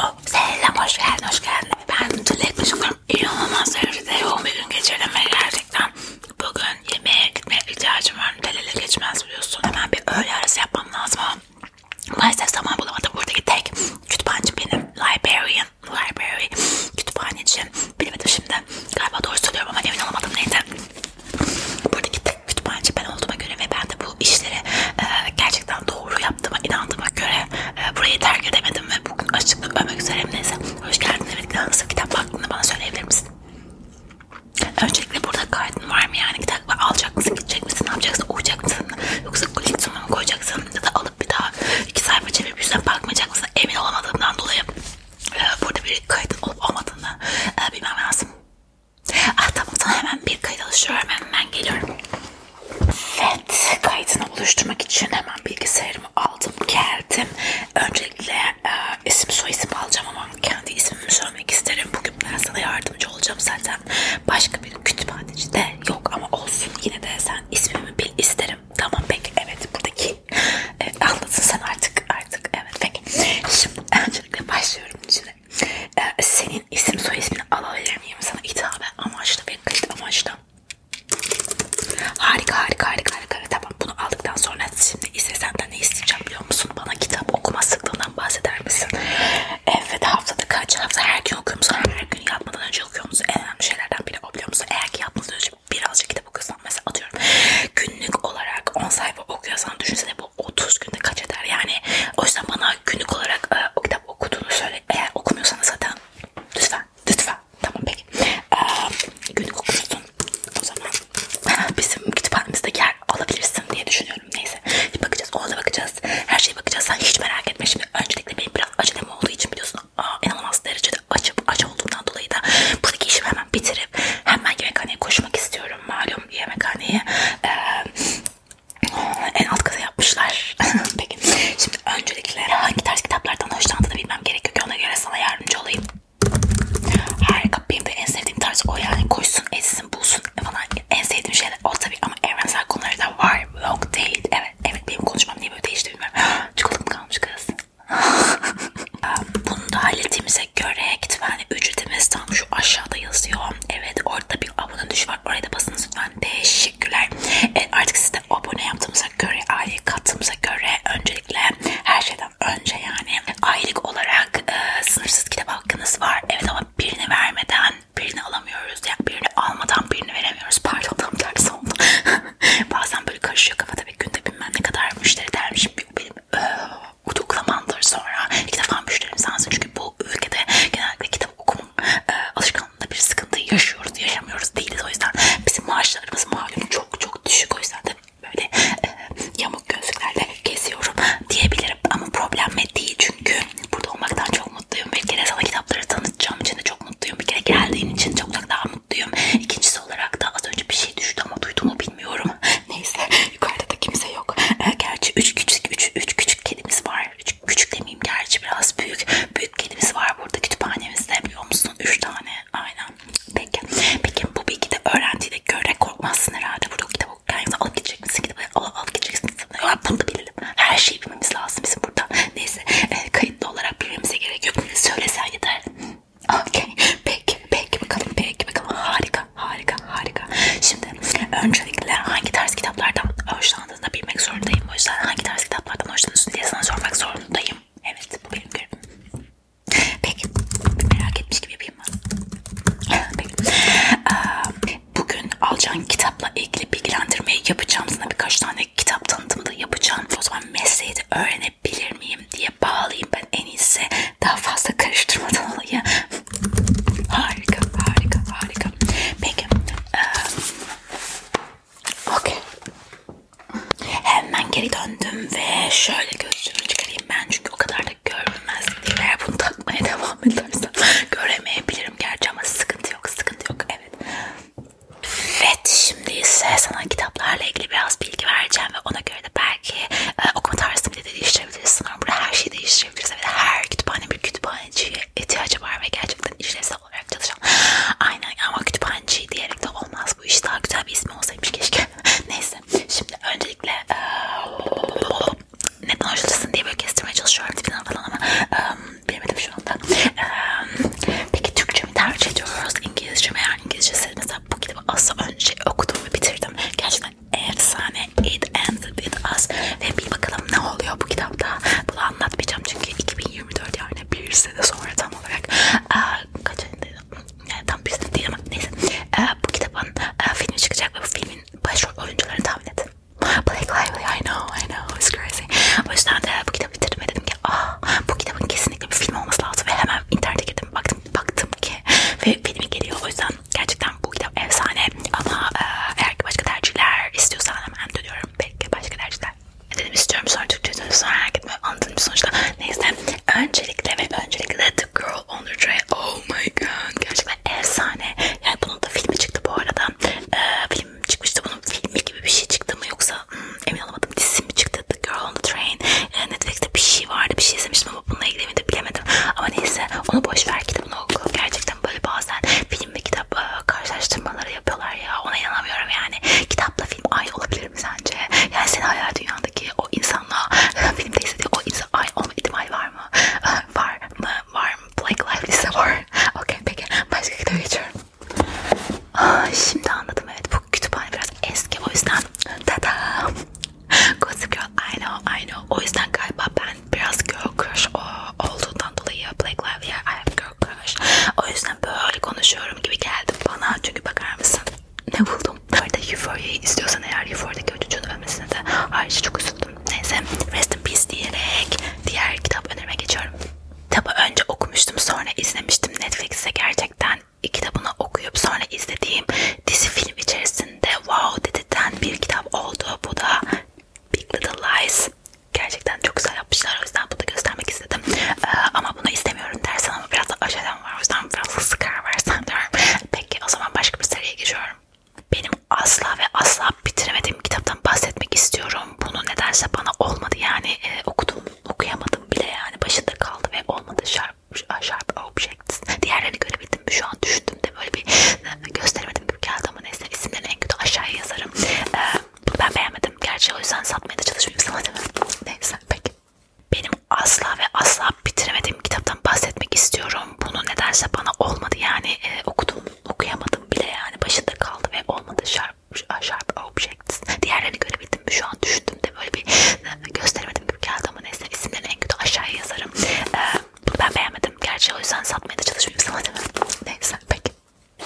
Oh, selam hoş geldin hoş geldin. Ben Tülay Kuşukum. İnanılmaz derecede yoğun bir gün geçirdim ve gerçekten bugün yemeğe gitmeye ihtiyacım var. Delele geçmez biliyorsun. Hemen bir öğle arası yapmam lazım ama maalesef zaman bulamadım. Buradaki tek kütüphaneci benim. Librarian, library, kütüphaneci. Bilemedim şimdi. Galiba doğru söylüyorum ama emin olamadım neyse. Buradaki tek kütüphaneci ben olduğuma göre ve ben de bu işleri e, gerçekten doğru yaptığıma inandığıma göre e, burayı terk edemedim ve bugün açıklık vermek üzereyim neyse. Hoş geldin evet nasıl kitap hakkında bana söyleyebilir misin? Öncelikle burada kaydın var mı yani kitap alacak mısın gidecek misin ne yapacaksın okuyacak mısın yoksa koleksiyonuna mı koyacaksın ya da alıp bir daha iki sayfa çevirip yüzüne bakmayacak mısın emin olamadığımdan dolayı ee, burada bir kayıt olup olmadığını e, bilmem lazım. Ah tamam sana hemen bir kayıt oluşturuyorum. Hemen geliyorum. Evet kaydını oluşturmak için hemen bilgisayarımı aldım geldim. Öncelikle e, isim soyisim alacağım ama kendi ismimi söylemek isterim. Bugün ben sana yardımcı olacağım zaten. Başka bir kütüphaneci de yok ama olsun yine de sen ismimi bil isterim. Tamam peki evet buradaki evet, anlatsın sen artık artık evet peki. Şimdi öncelikle başlıyorum içine. Ee, senin isim soy ismini alabilir miyim sana hitaben amaçlı ve kayıt amaçlı. Harika harika harika harika tamam bunu aldıktan sonra şimdi ise senden ne isteyeceğim biliyor musun? Bana kitap okuma sıklığından bahseder misin? Evet haftada kaç hafta her gün okuyor musun? Her gün yatmadan önce okuyor musun? En önemli şeylerden biri o biliyor musun? Eğer ki yatmadan önce birazcık kitap okuyorsan mesela atıyorum günlük olarak 10 sayfa okuyorsan düşünsene bu 30 günde kaç eder yani o yüzden bana günlük olarak e, o kitap okuduğunu söyle eğer okumuyorsanız zaten lütfen lütfen tamam peki e, günlük okursun o zaman bizim kütüphanemizde yer alabilirsin diye düşünüyorum neyse bir bakacağız ona bakacağız her şeye bakacağız sen hiç merak etme şimdi öncelikle benim biraz acelem olduğu için biliyorsun aa, inanılmaz derecede işte açıp aç olduğumdan dolayı da buradaki işimi hemen bitirip hemen yemekhaneye koşmak istiyorum. Malum yemekhaneye ee, en alt kata yapmışlar. Peki şimdi öncelikle hangi tarz kitaplardan hoşlandığını bilmem gerekiyor ki ona göre sana yardımcı olayım. Harika benim de en sevdiğim tarz o yani koşsun etsin bulsun falan en sevdiğim şeyler o tabii ama evrensel konuları da var. Vlog değil evet evet benim konuşmam niye böyle değişti bilmiyorum. Çikolatam kalmış kız. Bunu da hallettiğimize göre kütüphane ücretimiz tam şu aşağıda yazıyor. Evet orada bir abone düşü var. Oraya da basınız lütfen. Teşekkürler. Evet, artık siz de abone yaptığımıza göre, aile kattığımıza göre öncelikle her şeyden önce yani aylık olarak e, sınırsız kitap hakkınız var. Evet ama birini vermeden birini alamıyoruz. Yani birini almadan birini veremiyoruz. Pardon tam tersi oldu. Bazen böyle karışıyor kafada bir günde bilmem ne kadar müşteri dermişim. Benim tutuklamandır sonra. iki defa müşterim sensin. Çünkü bu ülkede genellikle kitap okuma e, alışkanlığında bir sıkıntı yaşıyoruz, yaşamıyoruz değiliz. O yüzden bizim maaşlarımız malum çok çok düşük. O yüzden de böyle e, yamuk gözlüklerle geziyorum diyebilirim. Ama problem değil çünkü burada olmaktan çok mutluyum. Bir kere sana kitapları tanıtacağım için de çok mutluyum. Bir kere geldiğin için çok çok daha mutluyum. İkincisi olarak da az önce bir şey düştü ama duydu mu bilmiyorum. Neyse yukarıda da kimse yok. Ee, gerçi 3 küçük 3 3 küçük kedimiz var. Üç, küçük demeyeyim gerçi biraz büyük. Büyük kedimiz var burada kütüphanemizde biliyor musun? 3 tane. Aynen. Peki. Peki bu bilgi de öğrendiğine göre korkmazsın herhalde. Burada kitap okurken alıp gidecek misin? Gidip alıp, alıp gidecek misin? Bunu da bilelim. Her şeyi bilmemiz lazım bizim burada. Neyse. E, kayıtlı olarak bilmemize gerek yok. Söylesen yeter. Okey. Peki, peki bakalım, peki bakalım. Harika, harika, harika. Şimdi öncelikle hangi tarz kitaplardan hoşlandığını da bilmek zorundayım. O yüzden hangi tarz kitaplardan hoşlanıyorsun diye sana sormak zorundayım. Evet, bu benim görevim. Peki, bir merak etmiş gibi yapayım mı? Peki. Ee, bugün alacağın kitapla ilgili bilgilendirmeyi yapacağım. Sana birkaç tane kitap tanıtımı da yapacağım. O zaman mesleği de öğrenelim öğrenebilir miyim diye bağlayayım ben en iyisi daha fazla karıştırmadan olayı. harika, harika, harika. Peki. Ee, okay. Hemen geri döndüm ve şöyle gözlüğümü çıkarayım ben çünkü o kadar da görünmez değil. Eğer bunu takmaya devam edersem göremeyebilirim gerçi ama sıkıntı yok, sıkıntı yok. Evet. Evet, şimdi ise sana kitaplarla ilgili biraz bilgi vereceğim ve ona göre şeyleri de belki e, okuma tarzını bile de değiştirebiliriz. Sanırım burada her şeyi değiştirebiliriz. Evet her kütüphane bir kütüphaneciye ihtiyacı var ve gerçekten işlevsel olarak çalışan. Aynen ama kütüphaneci diyerek de olmaz bu iş. Daha güzel bir ismi olsaymış keşke. Neyse şimdi öncelikle e, neden hoşlanırsın diye böyle kestirmeye çalışıyorum tipinden falan ama e, bilemedim şu anda. E, peki Türkçe mi tercih ediyoruz? İngilizce mi? Yani İngilizce mesela bu gibi kitabı az önce okudum ve bitirdim. Gerçekten efsane. It Ended With Us. Ve bir bakalım ne oluyor bu kitapta. Bunu anlatmayacağım çünkü 2024 yani bir sene sonra tam olarak. Ee, kaç ayındaydı? Yani tam bir sene değil ama neyse. Ee, bu kitabın e, filmi çıkacak ve bu filmin başrol oyuncularını tahmin edin. Blake Lively, I know, I know, it's crazy. O yüzden de bu kitabı bitirdim ve dedim ki ah, bu kitabın kesinlikle bir film olması lazım ve hemen internete girdim baktım baktım baktım ki ve filmi geliyor o yüzden gerçekten bu kitap efsane ama e, eğer ki başka tercihler istiyorsan hemen dönüyorum belki başka tercihler dedim istiyorum sonra Türkçe dönüp sonra merak etme anladım sonuçta neyse öncelikle ve öncelikle The Girl on the Train oh my god gerçekten efsane yani bunun da filmi çıktı bu arada e, film çıkmıştı bunun filmi gibi bir şey çıktı mı yoksa çıktı. Hmm, emin olamadım dizisi mi çıktı? The Girl on the Train. E, Netflix'te bir şey vardı. Bir şey izlemiştim ama bununla ilgili miydi bilemedim. Ama neyse onu boş ver kitabını oku. Gerçekten böyle bazen film ve kitap e, karşılaştırmaları yapıyorlar ya. Ona inanamıyorum yani. Kitapla film aynı olabilir mi sence? Yani senin hayal dünyandaki o insanla e, filmde istediği o insan aynı olma ihtimali var mı? E, var mı? Var mı? Black Life liste var. Okey peki. Başka kitap geçiyorum. Ay, şimdi anladım evet bu kütüphane biraz eski o yüzden tada Gossip Girl I know I know o yüzden galiba ben biraz girl crush o, olduğundan dolayı Black Lively I have girl crush o yüzden böyle konuşuyorum gibi geldi bana çünkü bakar mısın ne buldum bu arada Euphoria'yı izliyorsan eğer Euphoria'daki o çocuğun ölmesine de ayrıca çok üzüldüm neyse rest in peace diyerek diğer kitap önerime geçiyorum Kitabı önce okumuştum sonra izlemiştim Netflix'te gerçekten kitabını okuyup sonra izlediğim dizi film içerisinde wow dedirten bir kitap oldu. Bu da Big Little Lies. Gerçekten çok güzel yapmışlar. O yüzden bunu da göstermek istedim. Ee, ama bunu istemiyorum dersen ama biraz da acelem var. O yüzden biraz sıkar versen diyorum. Peki o zaman başka bir seriye geçiyorum. Benim asla ve asla bitiremediğim kitaptan bahsetmek istiyorum. Bunu nedense bana olmadı yani e, okudum okuyamadım bile yani başında kaldı ve olmadı şarkı sharp objects. Diğerlerini görebildim mi? Şu an düşündüm de böyle bir e, gösteremedim gibi geldi ama neyse isimlerini en kötü aşağıya yazarım. Ee, bunu ben beğenmedim. Gerçi o yüzden satmaya da çalışmayayım sana demem. Neyse peki. Benim asla ve asla bitiremediğim kitaptan bahsetmek istiyorum. Bunu nedense bana olmadı yani e, okudum okuyamadım bile yani başında kaldı ve olmadı sharp, sharp objects görebilecektiniz. Diğerlerini görebildim mi? Şu an düşündüm de böyle bir e, gösteremedim gibi geldi ama neyse isimlerini en kötü aşağıya yazarım. Ee, bunu ben beğenmedim. Gerçi o yüzden satmaya da çalışmayayım sana demem. Neyse peki.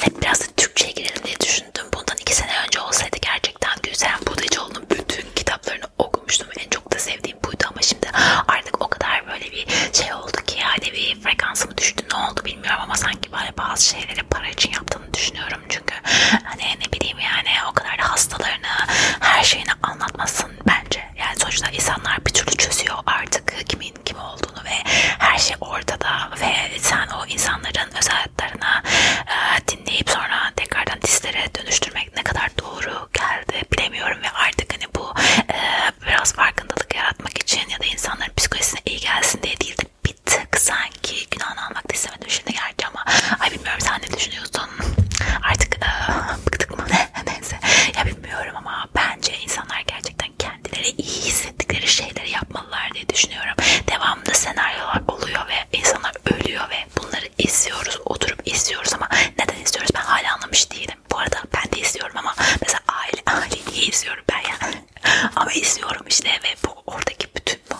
Hep biraz da Türkçe'ye girelim diye düşündüm. Bundan iki sene önce olsaydı gerçekten Gülseren Budacıoğlu'nun bütün kitaplarını okumuştum. En çok da sevdiğim buydu ama şimdi artık o kadar böyle bir şey oldu ki yani bir frekansımı düştü. Ne oldu bilmiyorum ama sanki böyle bazı şeyleri para için yaptığını düşünüyorum istemiyorum çünkü hani ne bileyim yani o kadar da hastalarını her şeyini anlatmasın bence. Yani sonuçta insanlar bir türlü çözüyor artık kimin kim olduğunu ve her şey ortada ve sen o insanların özel hayatlarına e, dinleyip sonra tekrardan dislere dönüştürmek ne kadar doğru geldi bilemiyorum ve artık hani bu e, biraz farkındalık yaratmak için ya da insanların psikolojisine iyi gelsin diye değil de gitti sanki günahını almak da istemedim şimdi gerçi ama ay bilmiyorum sen ne düşünüyorsun artık ıı, bıktık mı neyse ya bilmiyorum ama bence insanlar gerçekten kendileri iyi hissettikleri şeyleri yapmalılar diye düşünüyorum devamlı senaryolar oluyor ve insanlar ölüyor ve bunları izliyoruz oturup izliyoruz ama neden izliyoruz ben hala anlamış değilim bu arada ben de izliyorum ama mesela aile aile niye izliyorum ben yani ama izliyorum işte ve bu oradaki bütün bu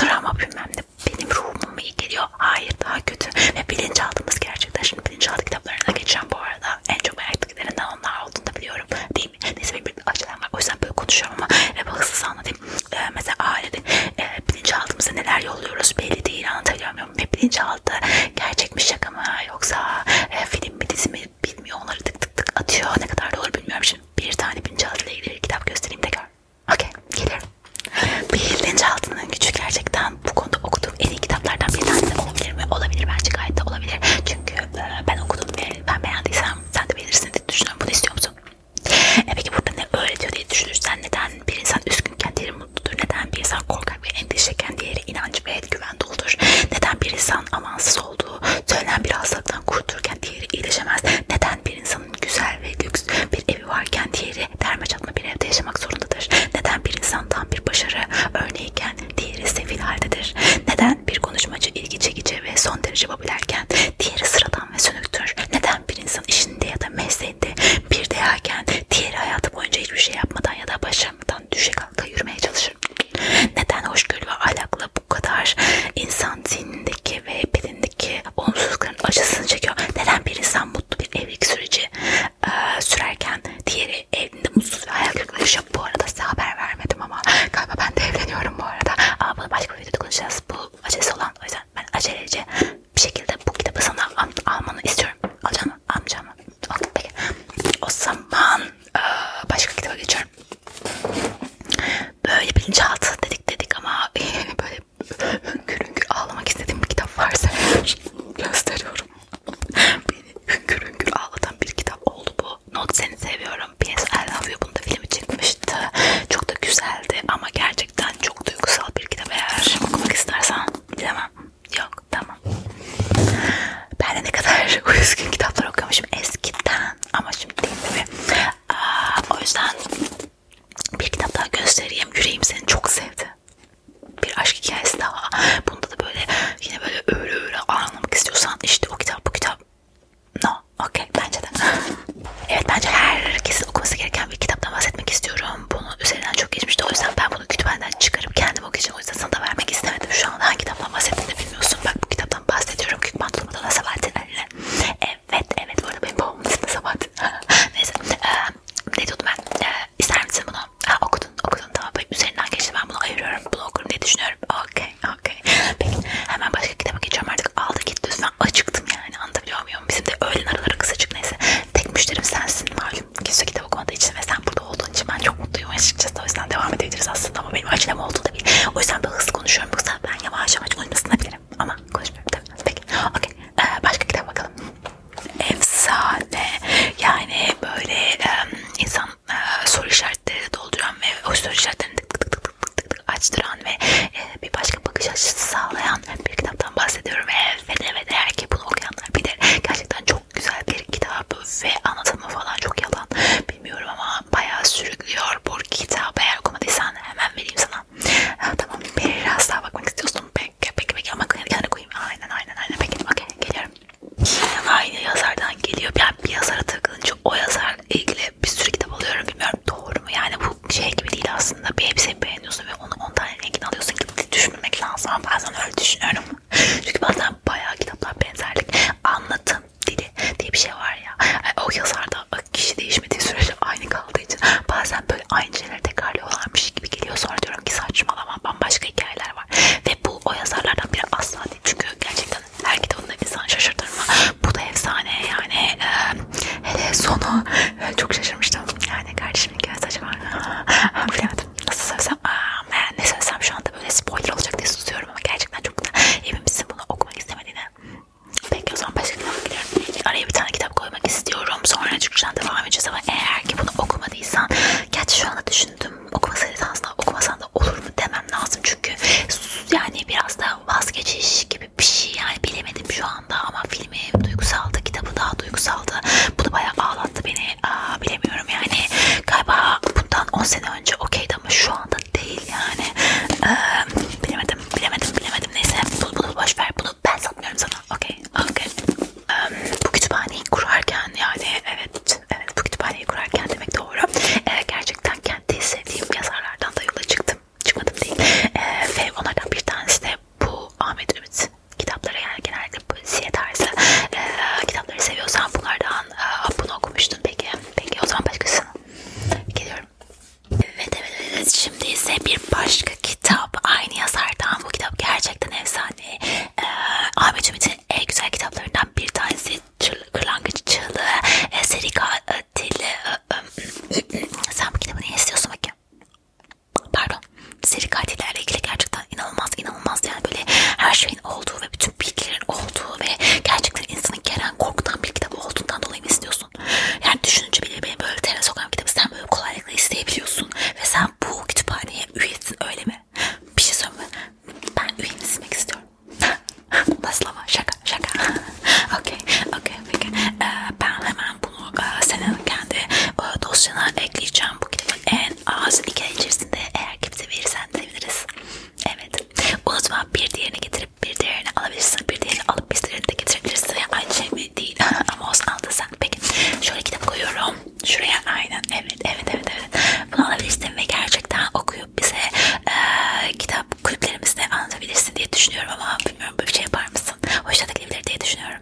drama bilmem ne benim ruhumum mu iyi geliyor? Hayır daha kötü. Ve bilinçaltımız gerçekten şimdi bilinçaltı kitaplarına geçen bu arada en çok merak ettiklerinden onlar olduğunu da biliyorum. Değil mi? Neyse bir, bir açıdan var. O yüzden böyle konuşuyorum ama ve hızlısı anlatayım. Ee, mesela ailede e, bilinçaltımıza neler yolluyoruz belli değil anlatabiliyor muyum? Ve bilinçaltı gerçek mi şaka mı yoksa e, film mi dizi mi bilmiyor onları tık tık tık atıyor. Ne kadar doğru bilmiyorum şimdi. Bir tane bilinçaltı ile ilgili kitap göstereyim de gör. Okey gelirim. Bilinçaltının gücü gerçekten bu konuda okuduğum en iyi kitaplardan bir tanesi olabilir mi? Olabilir bence gayet de olabilir. Çünkü e, ben okudum ve ben beğendiysem sen de beğenirsin diye düşünüyorum. Bunu istiyor musun? E peki burada ne öğretiyor diye düşünürsen neden bir insan üzgünken diğeri mutludur? Neden bir insan korkak ve endişeken diğeri inanç ve güven doludur? Neden bir insan amansız olduğu söylenen bir hastalıktan kurtulurken diğeri iyileşemez? Neden bir insan güzel ve lüks bir evi varken diğeri derme çatma bir evde yaşamak zorundadır? Neden bir insan tam bir başarı örneğiken diğeri sefil haldedir? Neden bir konuşmacı ilgi çekici ve son derece popülerken diğeri sıradan ve sönüktür? Neden bir insan işinde ya da mesleğinde bir değerken diğeri hayatı boyunca hiçbir şey yapmadan ya da başarmadan düşe kalka yürümeye çalışır? Neden hoşgörü ve ahlakla bu kadar insan zihnindeki ve bedendeki hayatındaki olumsuzlukların acısını çekiyor. Neden bir insan mutlu bir evlilik süreci e, sürerken diğeri evinde mutsuz ve hayal kırıklığı yaşıyor. Bu arada size haber vermedim ama galiba ben de evleniyorum bu arada. Ama bunu başka bir videoda konuşacağız. Bu acelesi olan o yüzden ben acelece bir şekilde bu kitabı sana al almanı istiyorum. Alacağım mı? Almayacağım mı? Okay, peki. O zaman e, başka kitaba geçiyorum. Böyle bilinçaltı dedik dedik ama böyle hüngür hüngür ağlamak istediğim bir kitap varsa gösteriyorum. Beni hüngür hüngür ağlatan bir kitap oldu bu. Not seni seviyorum. P.S. I love you. Bunda filmi çıkmıştı. Çok da güzeldi ama gerçekten çok duygusal bir kitap. Eğer okumak istersen bilemem. Yok tamam. Ben de ne kadar üzgün kitaplar okuyormuşum eskiden ama şimdi değil tabii. O yüzden bir kitap daha göstereyim. Yüreğim seni çok sevdi. Bir aşk hikayesi daha. Bunda da böyle yine böyle öyle öyle anlamak istiyorsan işte o kitap bu kitap. No. Okay. Bence de. evet bence herkesin okuması gereken bir kitaptan bahsetmek istiyorum. Bunu üzerinden çok geçmişti. O yüzden ben bunu kütüphaneden çıkarıp kendim okuyacağım. O yüzden sana da vermek istemedim. Şu anda hangi kitaptan bahsettiğini bilmiyorsun. Bak bu kitaptan bahsediyorum. Kükman Durmadan Sabahattin Ali'nin. Evet. Evet evet bu arada benim babamın ismi Sabahattin. Neyse ee, ne diyordum ben ee, ister misin bunu? Ha, okudun okudun tamam böyle üzerinden geçti ben bunu ayırıyorum bunu okurum diye düşünüyorum. Okey okey. Peki hemen başka kitaba geçiyorum artık aldı gitti lütfen acıktım yani anlatabiliyor muyum? Bizim de öğlen araları kısacık neyse. Tek müşterim sensin malum kimse kitap okumadığı için ve sen burada olduğun için ben çok mutluyum açıkçası o yüzden devam edebiliriz aslında ama benim acelem olduğu da bir. O yüzden ben hızlı konuşuyorum yoksa ben yavaş yavaş uyumasına bile konuşabilirim ama konuşmuyorum tabii. Peki. Okay. Ee, başka kitap bakalım. Efsane. Yani böyle e, insan e, soru işaretleri dolduran ve o soru işaretlerini tık tık tık tık tık tık açtıran ve e, bir başka bakış açısı sağlayan bir kitaptan bahsediyorum. Evet evet eğer ki bunu okuyanlar bilir. Gerçekten çok güzel bir kitap ve anlatımı falan çok yalan. Bilmiyorum ama bayağı sürüklüyor bu kitabı. Eğer okumadıysan hemen vereyim sana falan. Ha, tamam biraz daha bakmak istiyorsun. Peki peki peki ama kenara koyayım. Aynen aynen aynen peki okey geliyorum. Yine aynı yazardan geliyor. Ben bir yazara takılınca o yazarla ilgili bir sürü kitap alıyorum. Bilmiyorum doğru mu? Yani bu şey gibi değil aslında. Bir hepsini beğeniyorsun ve onu 10 tane renkini alıyorsun gibi düşünmemek lazım. Ama bazen öyle düşünüyorum. Çünkü bazen bayağı kitaplar benzerlik. Anlatım dili diye bir şey var ya. O yazarda Bak kişi değişmediği sürece aynı kaldığı için bazen böyle aynı şeyleri tekrarlıyorlarmış gibi geliyor. Sonra diyorum ki saçmalama bambaşka hikayeler var. Ve bu o yazarlardan biri asla değil. Çünkü gerçekten her kitabında insan şaşırtır mı? Bu da efsane yani. E, hele sonu çok şaşırmıştım. Yani kardeşimin göz saçı var. Bilemedim. Nasıl söylesem? Aa, ben ne söylesem şu anda böyle spoiler olacak diye susuyorum ama gerçekten çok güzel. Emin misin bunu okumak istemediğine? Peki o zaman başka kitaba gidelim. Araya bir tane kitap koymak istiyorum. Sonra Türkçeden devam edeceğiz ama eğer ki bunu okumadıysan gerçi şu anda düşündüm okumasaydın aslında okumasan da olur mu demem lazım çünkü yani biraz da vazgeçiş gibi bir şey yani bilemedim şu anda ama filmi duygusaldı kitabı daha duygusaldı bunu bayağı ağlattı beni Aa, bilemiyorum yani galiba bundan 10 sene önce okeydi ama şu anda değil yani ee, bilemedim bilemedim. Bilemedim bilemedim. Neyse bunu, bunu boş ver. Bunu ben satmıyorum sana. Okey. Okey. Um, bu kütüphaneyi kurarken yani evet evet bu kütüphaneyi kurarken demek doğru. E, gerçekten kendi sevdiğim yazarlardan da yola çıktım. Çıkmadım değil. E, ve onlardan bir tanesi de bu Ahmet Ümit kitapları yani genellikle polisiye tarzı e, kitapları seviyorsan bunlardan e, bunu okumuştun peki. Peki o zaman başkasını geliyorum. Evet evet evet şimdi ise bir başka kitap aynı yazardan bu kitap gerçekten efsane. Ee, Ahmet Ümit'in en güzel kitaplarından bir tanesi Kırlangıç Çığlığı, ee, e, Seri Katili. E, e, sen bu kitabı niye istiyorsun bakayım? Pardon. Seri katillerle ilgili gerçekten inanılmaz inanılmaz yani böyle her şeyin olduğu ve bütün bilgilerin olduğu ve gerçekten insanı gelen korkutan bir kitap olduğundan dolayı mı istiyorsun? musun? Yani düşününce bile benim böyle teras okuyan kitabı sen böyle kolaylıkla isteyebiliyorsun. Ve sen bu kütüphaneye üyesin öyle mi? Bir şey söyleme. Ben üyeni silmek istiyorum. Nasıl ama şaka şaka. okey okey peki. Ee, ben hemen bunu e, senin kendi e, dosyana ekleyeceğim. Bu kitabın en az iki ay içerisinde eğer kimse verirsen seviniriz. Evet. Unutma bir diğerini getir getirip bir diğerini alabilirsin. Bir diğerini alıp bir diğerini de getirebilirsin. Aynı şey mi? Değil. Ama olsun aldı sen. Peki. Şöyle kitap koyuyorum. Şuraya aynen. Evet. Evet. Evet. evet. Bunu alabilirsin ve gerçekten okuyup bize e, kitap kulüplerimizde anlatabilirsin diye düşünüyorum ama bilmiyorum böyle bir şey yapar mısın? Hoşuna da gidebilir diye düşünüyorum.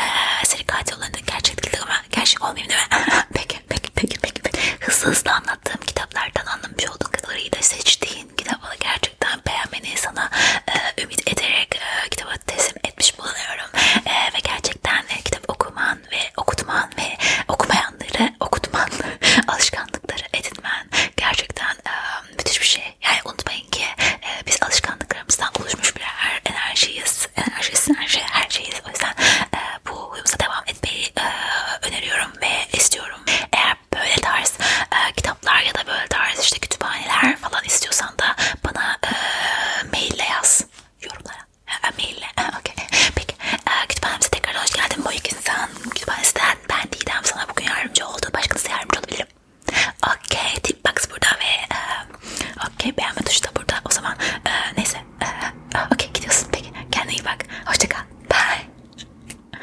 E, seri katil olanı gerçek değil ama gerçek olmayayım değil mi? peki. Peki. Peki. Peki. peki. Hızlı hızlı anlattığım kitaplardan anlamış olduğun kadarıyla seçtiğin Çin kitabını gerçekten beğenmeni sana e, ümit ederek e, kitabı teslim etmiş bulunuyorum e, ve gerçekten e, kitap okuman ve okutman ve okumayanları okutman alışkanlıkları edinmen gerçekten e, müthiş bir şey. Yani unutmayın ki e, biz alışkanlıklarımızdan oluşmuş birer enerjiyiz, enerjiyiz, enerji, her şeyiz. O yüzden e, bu uyumuza devam etmeyi e, öneriyorum ve istiyorum. Eğer böyle tarz e, kitaplar ya da böyle tarz işte kütüphaneler falan istiyorsan da bana e, maille yaz yorumlara. E, maille. E, okay. Peki e, kütüphanemize tekrar hoş geldin. Bu iki insan kütüphanesinden ben Didem sana bugün yardımcı oldu. Başka nasıl yardımcı olabilirim? Okey. Tip box burada ve e, okey beğenme tuşu da burada. O zaman e, neyse. E, okey gidiyorsun. Peki kendine iyi bak. Hoşçakal. Bye.